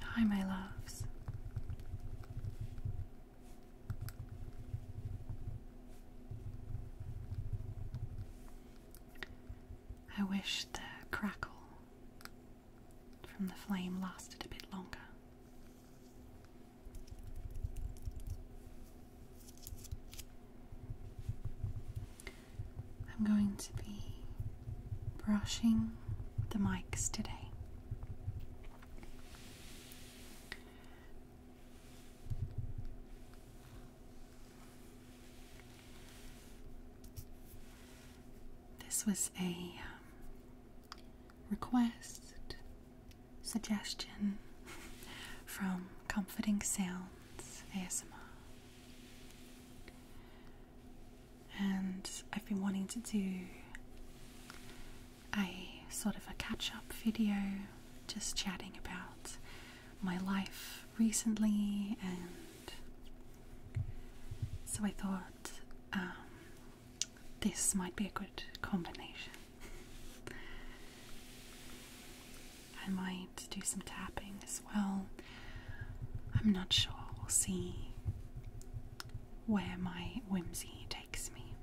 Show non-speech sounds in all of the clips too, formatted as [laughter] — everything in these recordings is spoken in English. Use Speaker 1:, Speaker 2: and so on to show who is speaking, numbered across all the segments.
Speaker 1: Hi, my loves. I wish the crackle from the flame lasted a bit longer. I'm going to be brushing the mics today. This was a um, request, suggestion [laughs] from Comforting Sound. ASMR. And I've been wanting to do a sort of a catch up video, just chatting about my life recently. And so I thought um, this might be a good combination. I might do some tapping as well. I'm not sure. We'll see where my whimsy takes me.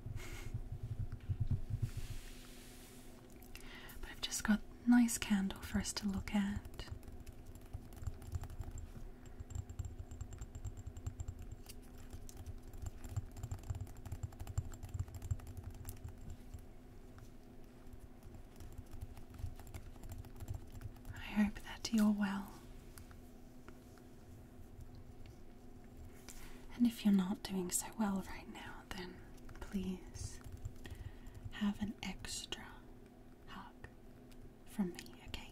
Speaker 1: but I've just got nice candle for us to look at. I hope that you're well. And if you're not doing so well right now, then please have an extra hug from me, okay?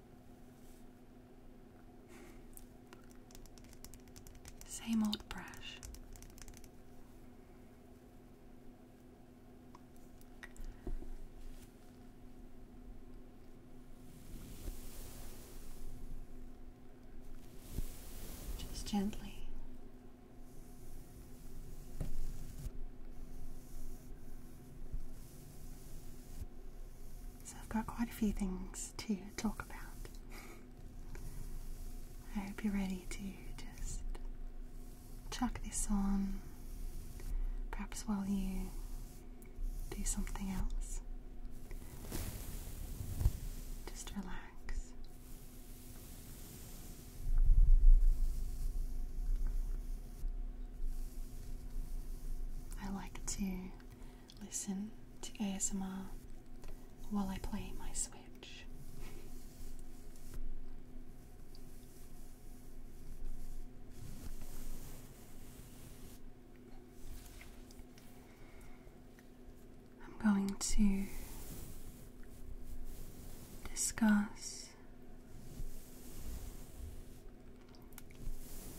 Speaker 1: Same old brush. Just gently. So I've got quite a few things to talk about. I hope you're ready to just chuck this on, perhaps while you do something else. Just relax. I like to listen to ASMR while I play my Switch. I'm going to discuss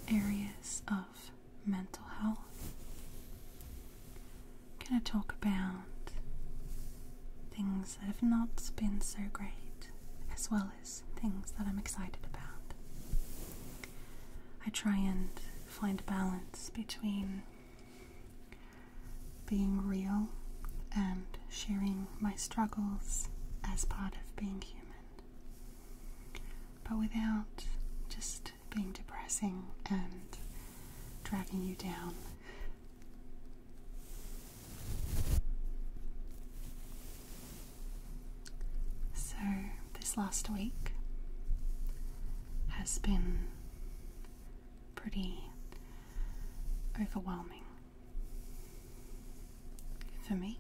Speaker 1: areas of mental health. Can i talk about things that have not been so great, as well as things that I'm excited about. I try and find a balance between being real and sharing my struggles as part of being human but without just being depressing and dragging you down. So, this last week has been pretty overwhelming. For me,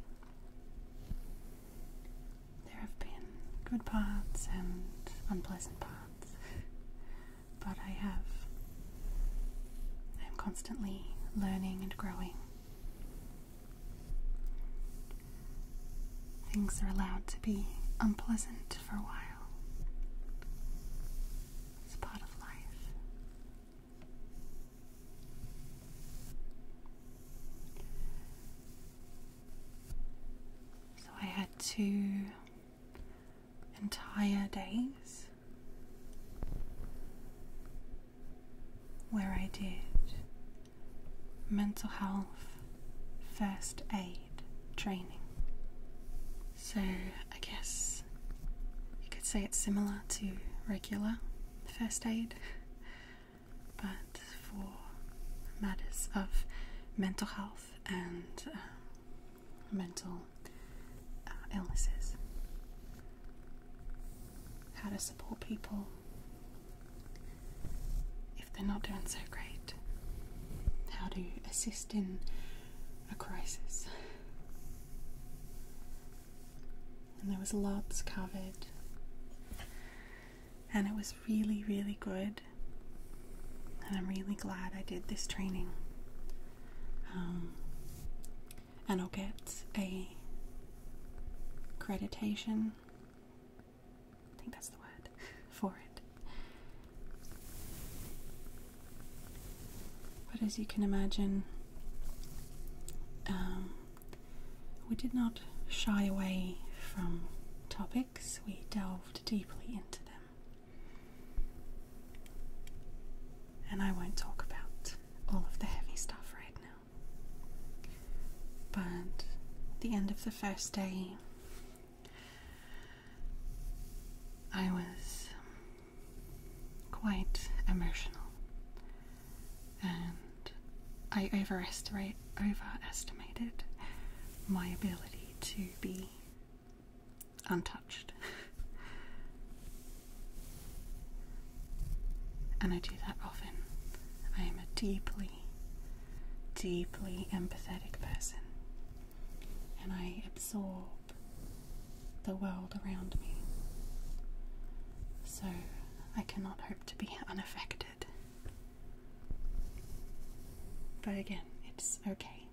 Speaker 1: there have been good parts and unpleasant parts, but I have. I'm constantly learning and growing. Things are allowed to be unpleasant for a while. It's part of life. So I had two entire days where I did mental health first aid training. So I guess you could say it's similar to regular first aid, [laughs] but for matters of mental health and uh, mental uh, illnesses, how to support people if they're not doing so great, how to assist in a crisis and there was lots covered and it was really really good and i'm really glad i did this training um, and i'll get a accreditation i think that's the word [laughs] for it but as you can imagine um, we did not shy away from topics, we delved deeply into them. And I won't talk about all of the heavy stuff right now. But the end of the first day, I was quite emotional and I overestimate overestimated my ability to be untouched. and I do that often. I am a deeply, deeply empathetic person. And I absorb the world around me. So I cannot hope to be unaffected. But again, it's okay.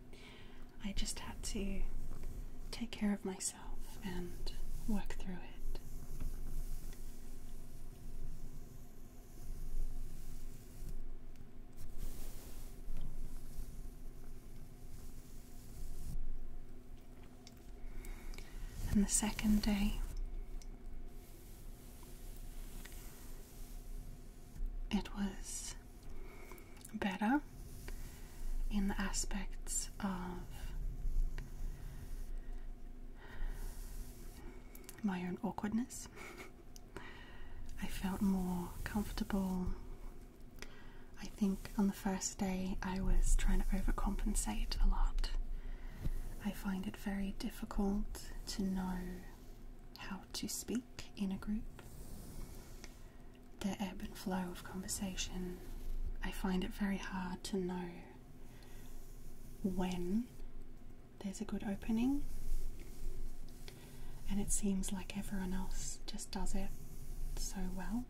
Speaker 1: I just had to take care of myself and work through it and the second day. It was better in the aspects of my own awkwardness. I felt more comfortable. I think on the first Day, I was trying to overcompensate a lot. I find it very difficult to know how to speak in a group. The ebb and flow of conversation, I find it very hard to know when there's a good opening, and it seems like everyone else just does it so well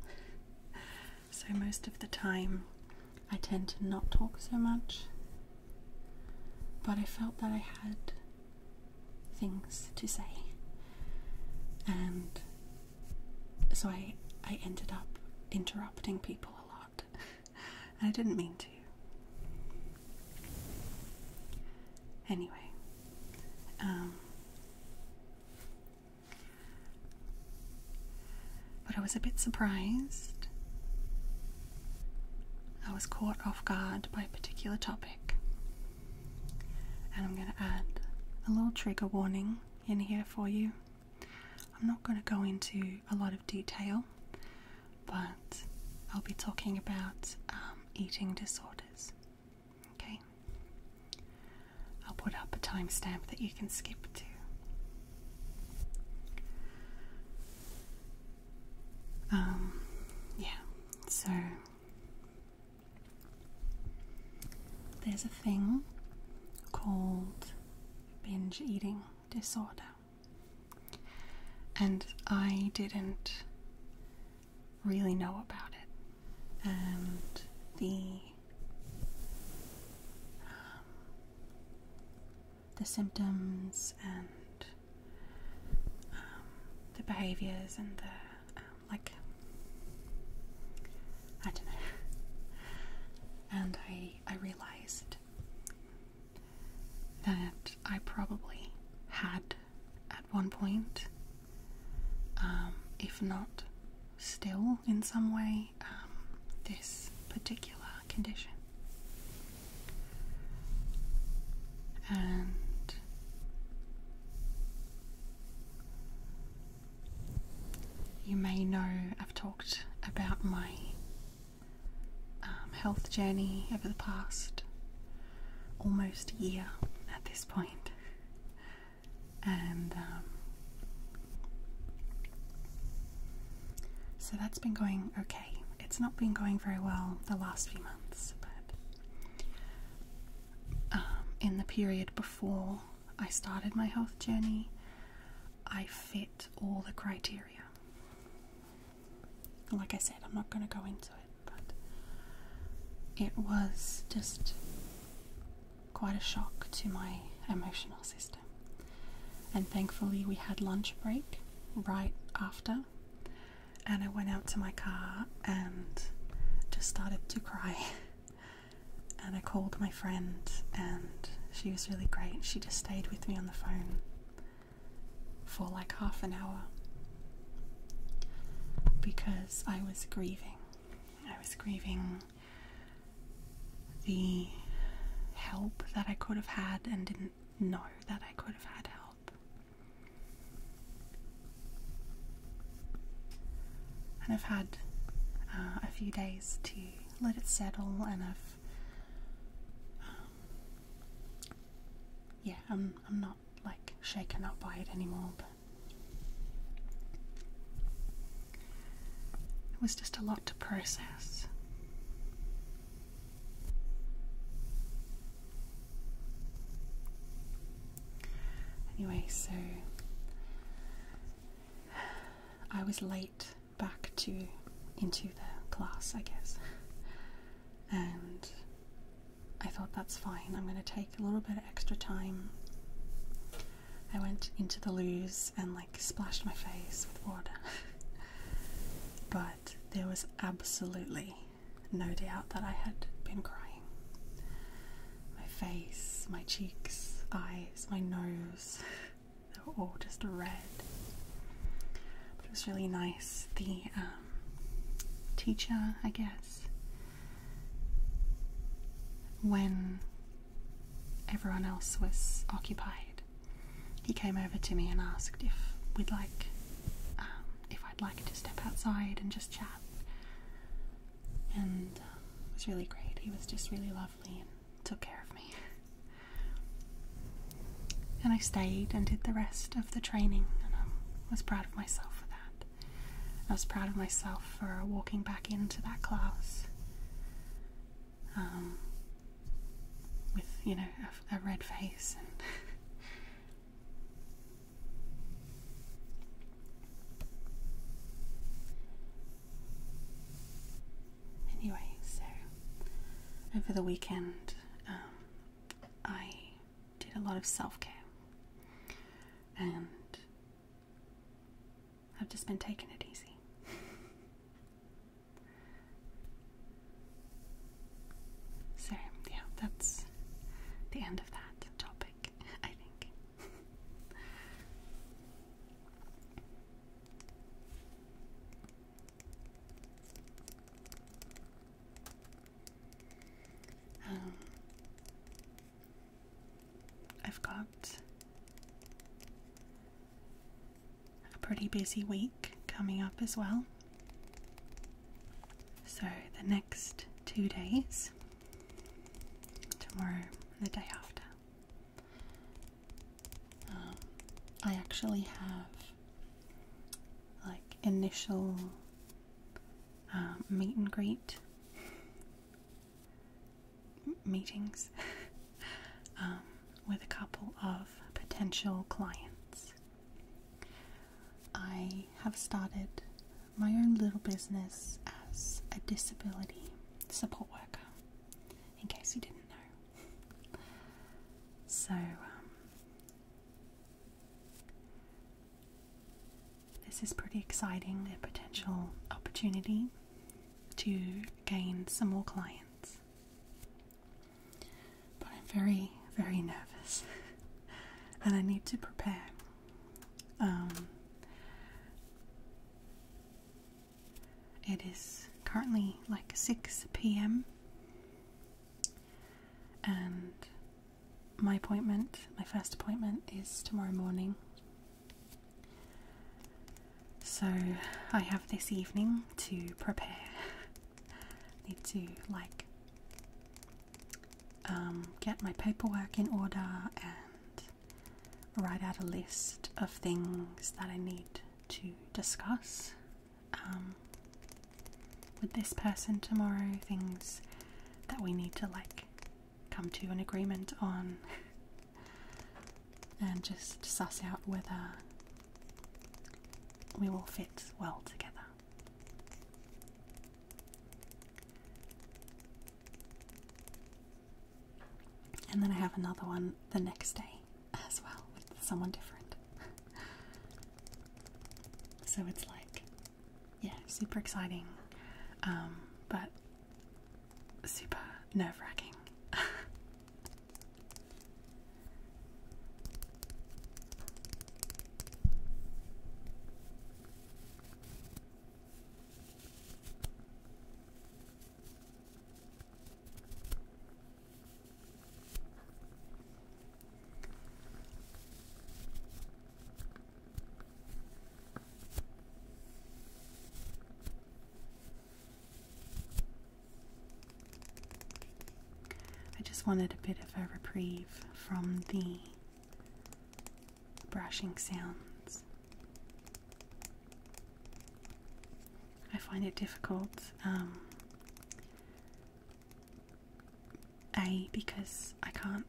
Speaker 1: so most of the time I tend to not talk so much. But I felt that I had things to say, and so I I ended up interrupting people a lot, [laughs] and I didn't mean to. Anyway, um, but I was a bit surprised. I was caught off guard by a particular topic. And I'm going to add a little trigger warning in here for you. I'm not going to go into a lot of detail, but I'll be talking about um, eating disorders. Okay? I'll put up a timestamp that you can skip to. Um, yeah, so there's a thing called binge eating disorder, and I didn't really know about it, and the um, the symptoms and um, the behaviors and the um, like I don't know and I I realized that I probably had at one point if not still in some way um, this particular condition. And you may know I've talked about my um, health journey over the past almost year at this point, and um, so that's been going okay. It's not been going very well the last few months, but um, in the period before I started my health journey, I fit all the criteria. Like I said, I'm not going to go into it, but it was just quite a shock to my emotional system. And thankfully, we had lunch break right after, and I went out to my car and just started to cry. [laughs] and I called my friend, and she was really great. She just stayed with me on the phone for like half an hour because I was grieving. I was grieving the help that I could have had and didn't know that I could have had help. And I've had uh, a few days to let it settle, and I've um, yeah, I'm I'm not like shaken up by it anymore, but it was just a lot to process. Anyway, so I was late back to into the class, I guess. And I thought that's fine. I'm going to take a little bit of extra time. I went into the loos and like splashed my face with water. [laughs] but there was absolutely no doubt that I had been crying. My face, my cheeks, eyes, my nose, [laughs] they were all just red. it was really nice. The um, teacher, I guess, when everyone else was occupied, he came over to me and asked if we'd like, um, if I'd like to step outside and just chat. And uh, it was really great. He was just really lovely and took care of me. And I stayed and did the rest of the training, and I was proud of myself for that. I was proud of myself for walking back into that class um, with you know a, red face and [laughs] anyway so over the weekend um, i did a lot of self-care and I've just been taking it easy. so, yeah, that's the end of that topic, I think. um, I've got a pretty busy week coming up as well. So, the next two days, tomorrow and the day after, um, I actually have like initial um, meet and greet meetings [laughs] um, with a couple of potential clients. I have started my own little business as a disability support worker, in case you didn't know. So, um, this is pretty exciting a potential opportunity to gain some more clients. But I'm very, very nervous [laughs] and I need to prepare. Um, it is currently like 6 pm, and my appointment, my first appointment, is tomorrow morning so I have this evening to prepare. Need to like um, get my paperwork in order and write out a list of things that I need to discuss um, with this person tomorrow. Things that we need to like come to an agreement on. [laughs] and just suss out whether we will fit well together. And then I have another one the next day as well with someone different. [laughs] so it's like, yeah, super exciting. Um, but super nerve wracking. I just wanted a bit of a reprieve from the brushing sounds. I find it difficult. Um, a because I can't.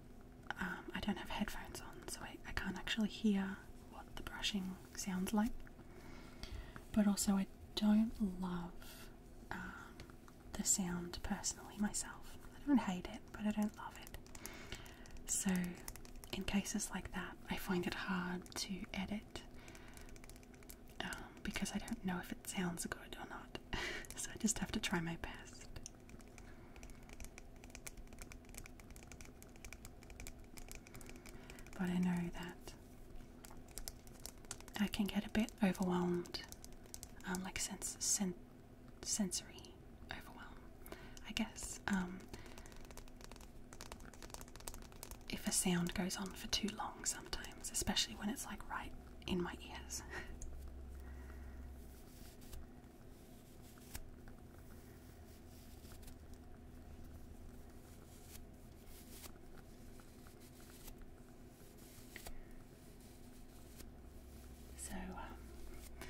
Speaker 1: Um, I don't have headphones on, so I, I can't actually hear what the brushing sounds like. But also, I don't love um, the sound personally myself. I don't hate it, but I don't love it. So, in cases like that, I find it hard to edit um, because I don't know if it sounds good or not. [laughs] so, I just have to try my best. But I know that I can get a bit overwhelmed, um, like sense, sensory overwhelm, I guess. Um, if a sound goes on for too long sometimes, especially when it's like right in my ears. [laughs] So um,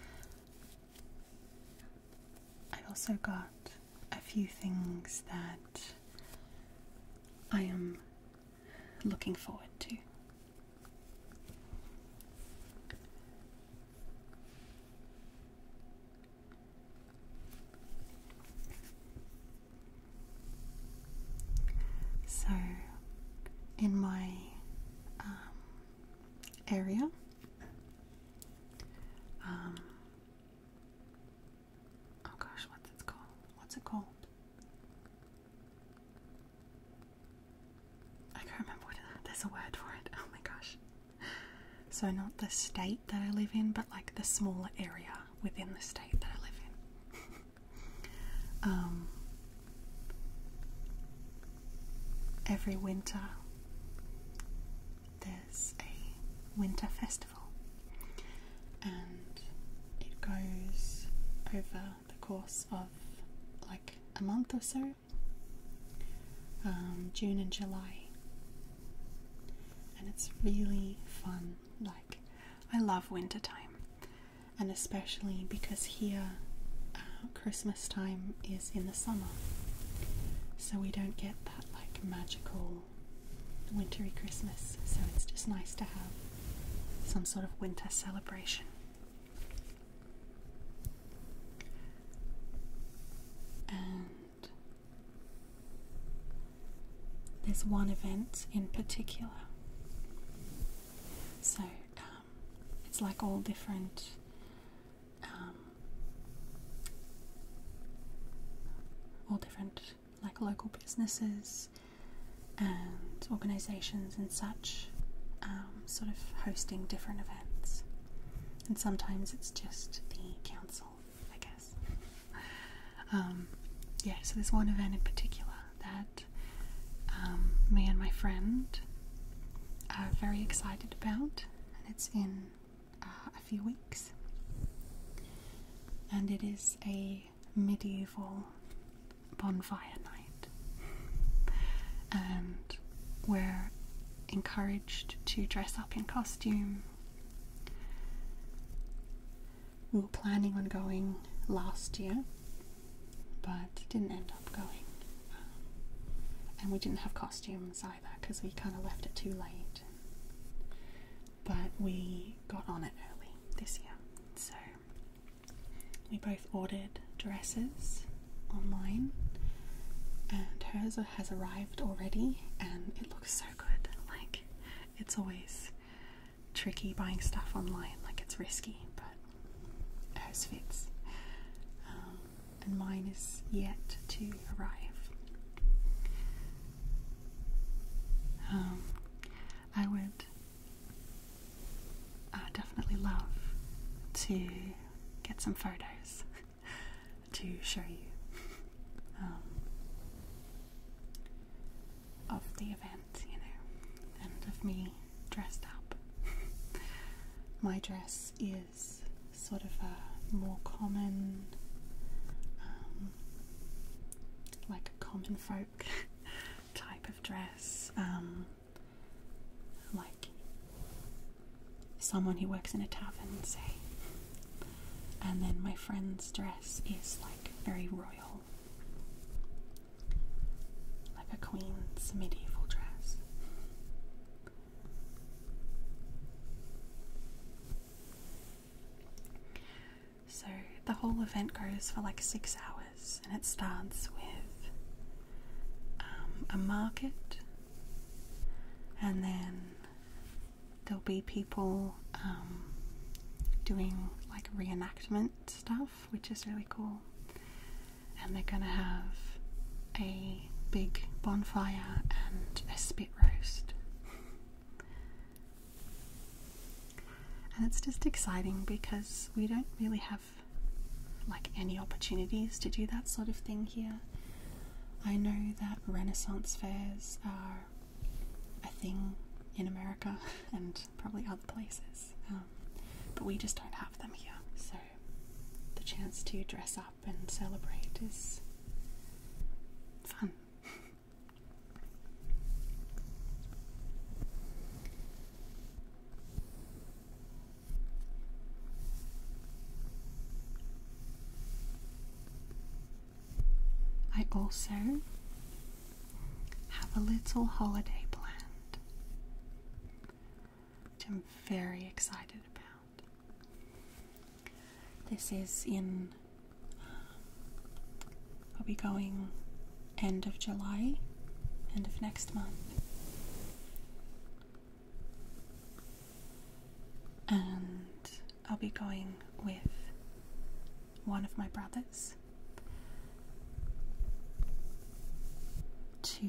Speaker 1: I've also got a few things that I am looking forward to. So, in my um, area, um, oh gosh, what's it called? What's it called? I can't remember There's a word for it. [laughs] Oh my gosh. So, not the state that I live in, but like the smaller area within the state that I live in. [laughs] Um, every winter, there's a winter festival, and it goes over the course of like a month or so. Um, June and July and it's really fun. Like, I love wintertime, and especially because here uh, Christmas time is in the summer, so we don't get that like magical wintery Christmas. So it's just nice to have some sort of winter celebration. And there's one event in particular. So um, it's like all different um, all different like local businesses and organizations and such um, sort of hosting different events and sometimes it's just the council I guess. [laughs] Um, yeah, so there's one event in particular that um, me and my friend are very excited about, and it's in uh, a few weeks. And it is a medieval bonfire night. And we're encouraged to dress up in costume we were planning on going last year, but didn't end up going. Um, and we didn't have costumes either because we kind of left it too late. But we got on it early this year. So we both ordered dresses online, and hers has arrived already, and it looks so good. Like it's always tricky buying stuff online, like it's risky, but hers fits. Um, and mine is yet to arrive. Um, I would uh, definitely love to get some photos [laughs] to show you um, of the event, you know, and of me dressed up. [laughs] My dress is sort of a more common, um, like a common folk [laughs] type of dress, um, like someone who works in a tavern, say. And then my friend's dress is like very royal, like a queen's medieval dress. So the whole event goes for like six hours, and it starts with um, a market and then there'll be people um, doing like reenactment stuff, which is really cool. And they're gonna have a big bonfire and a spit roast. and it's just exciting because we don't really have like any opportunities to do that sort of thing here. I know that Renaissance fairs are a thing in America [laughs] and probably other places, um, but we just don't have them here. So the chance to dress up and celebrate is fun. I also have a little holiday planned, which I'm very excited about. This is in, we uh, will be going end of July, end of next month and I'll be going with one of my brothers to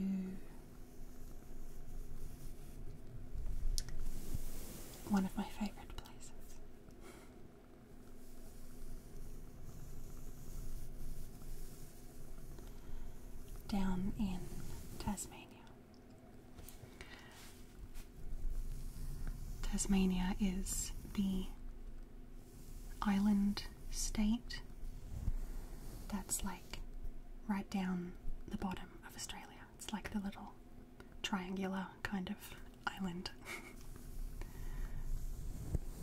Speaker 1: one of my favorite places. Down in Tasmania. Tasmania is the island state that's like right down the bottom of Australia. It's like the little triangular kind of island.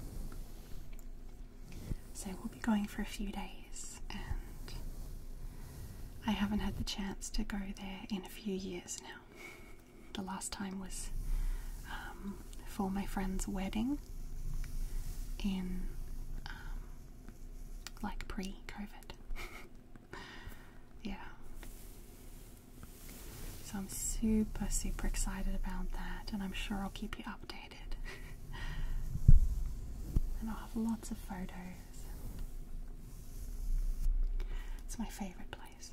Speaker 1: [laughs] so we'll be going for a few days and I haven't had the chance to go there in a few years. The last time was um, for my friend's wedding in um, like pre COVID. [laughs] yeah. So I'm super, super excited about that, and I'm sure I'll keep you updated. [laughs] and I'll have lots of photos it's my favorite place.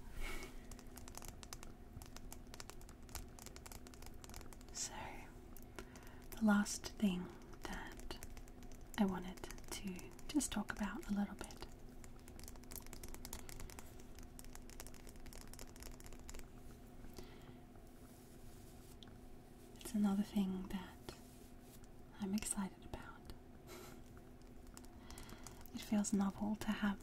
Speaker 1: So, the last thing that I wanted to just talk about a little bit it's another thing that I'm excited about. It feels novel to have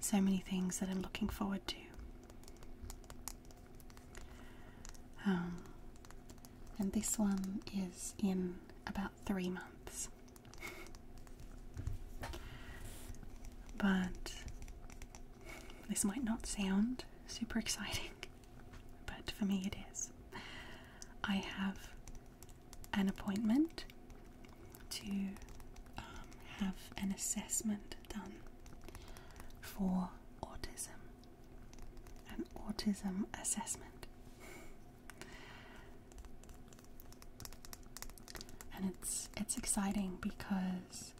Speaker 1: so many things that I'm looking forward to. Um, and this one is in about three months. [laughs] but this might not sound super exciting, but for me it is. I have an appointment to um, have an assessment done for autism, an autism assessment, and it's it's exciting because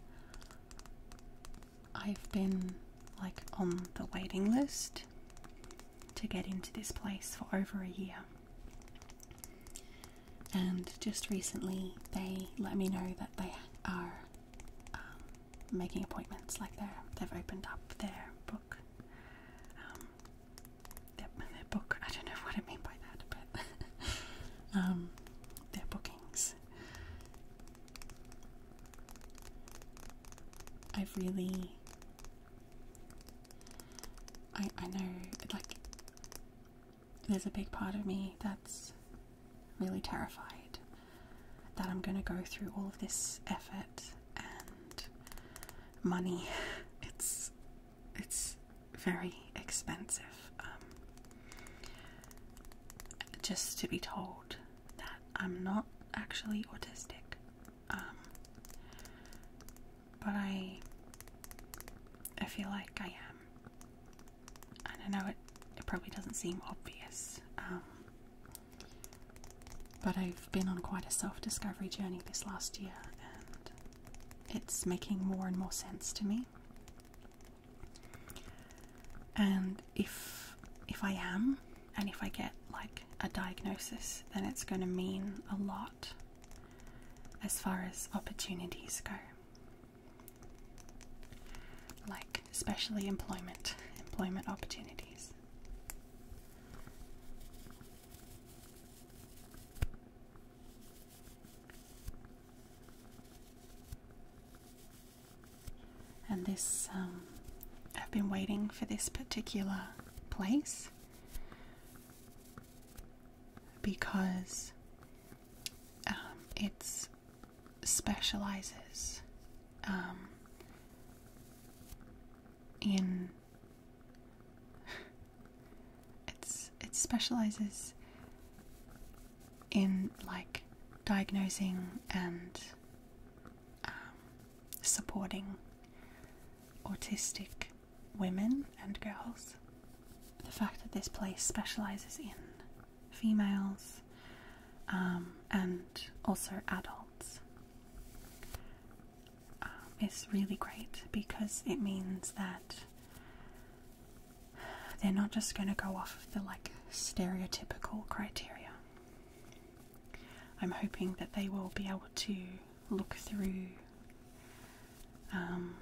Speaker 1: I've been like on the waiting list to get into this place for over a year. And just recently, they let me know that they are um, making appointments. Like they're they've opened up their book. Um, their, book. I don't know what I mean by that, but [laughs] um, their bookings. I've really I I know like there's a big part of me that's really terrified that I'm going to go through all of this effort and money. [laughs] It's it's very expensive. Um, just to be told that I'm not actually autistic. Um, but I, I feel like I am. I don't know it, it probably doesn't seem obvious, um, but I've been on quite a self discovery journey this last year, and it's making more and more sense to me. And if if I am and if I get like a diagnosis, then it's going to mean a lot as far as opportunities go. Like, especially employment, employment opportunities. And this, um, I've been waiting for this particular place because um, it specializes um, in it's it specializes in like diagnosing and um, supporting autistic women and girls. The fact that this place specialises in females um, and also adults um, is really great because it means that they're not just going to go off the like stereotypical criteria. I'm hoping that they will be able to look through um,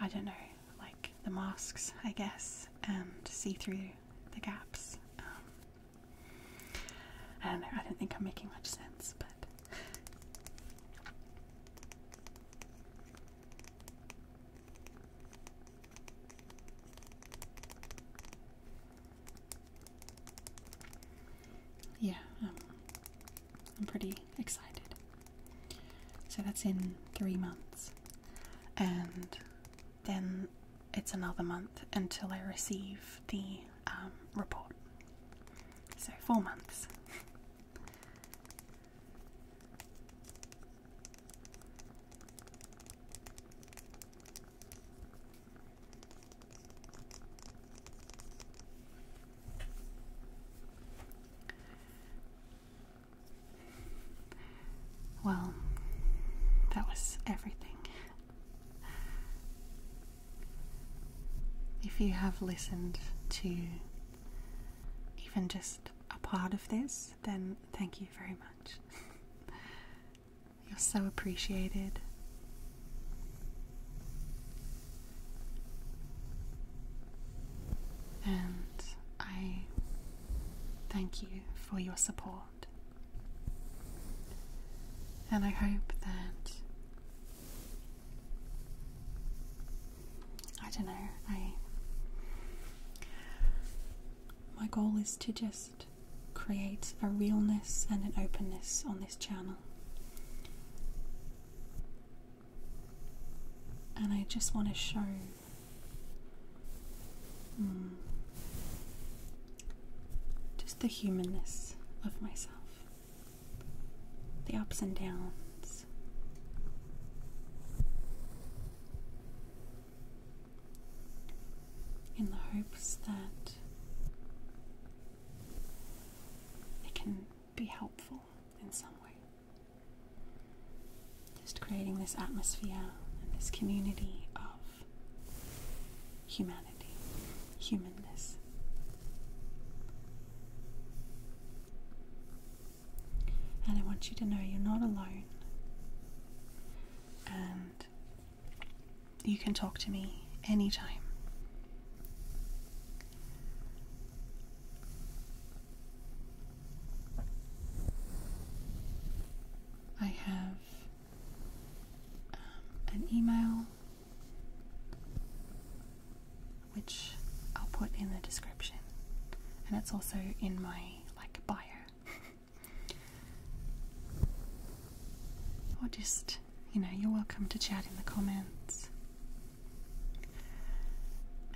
Speaker 1: I don't know, like the masks, I guess, and see through the gaps. Um, I don't know, I don't think I'm making much sense, but. Yeah, um, I'm pretty excited. So that's in three months. And then it's another month until I receive the um, report. So, four months. Well, that was everything. If you have listened to even just a part of this, then thank you very much. You're so appreciated. And I thank you for your support. And I hope that I don't know, I my goal is to just create a realness and an openness on this channel. And I just want to show hmm, just the humanness of myself, the ups and downs in the hopes that it can be helpful in some way. Just creating this atmosphere and this community of humanity, humanness. And I want you to know you're not alone. And you can talk to me anytime. I have um, an email which I'll put in the description, and it's also in my like bio. [laughs] Or just, you know, you're welcome to chat in the comments.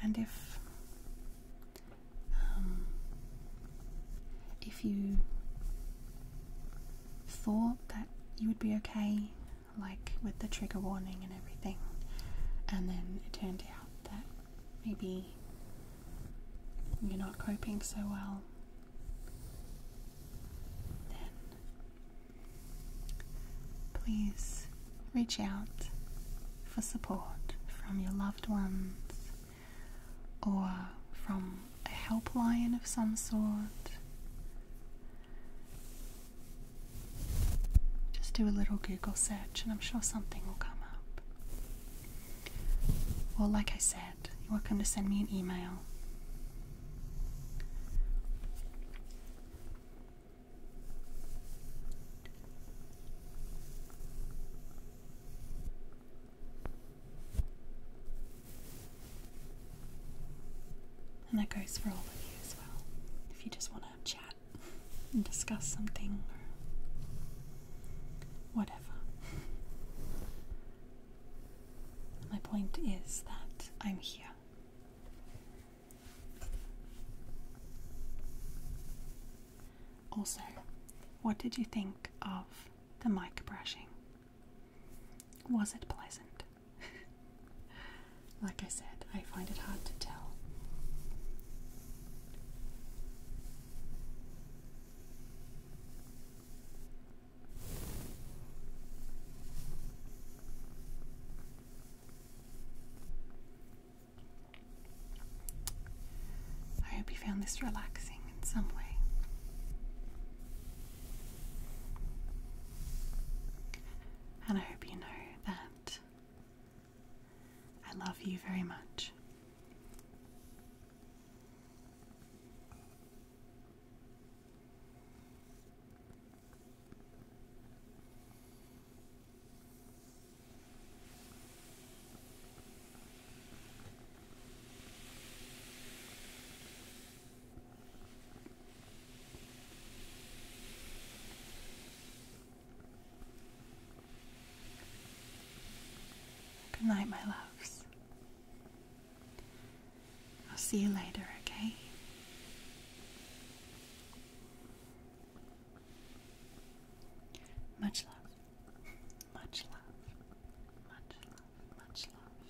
Speaker 1: And if um, if you thought that you would be okay, like with the trigger warning and everything, and then it turned out that maybe you're not coping so well, then please reach out for support from your loved ones or from a helpline of some sort. Just do a little Google search, and I'm sure something will come up. Well, like I said, you're welcome to send me an email. And that goes for all of you as well. If you just want to chat and discuss something Whatever. My point is that I'm here. Also, what did you think of the mic brushing? Was it pleasant? [laughs] like I said, I find it hard to tell. I hope you found this relaxing in some way. And I hope you know that I love you very much. Good night, my loves. I'll see you later, okay? Much love. Much love. Much love. Much love.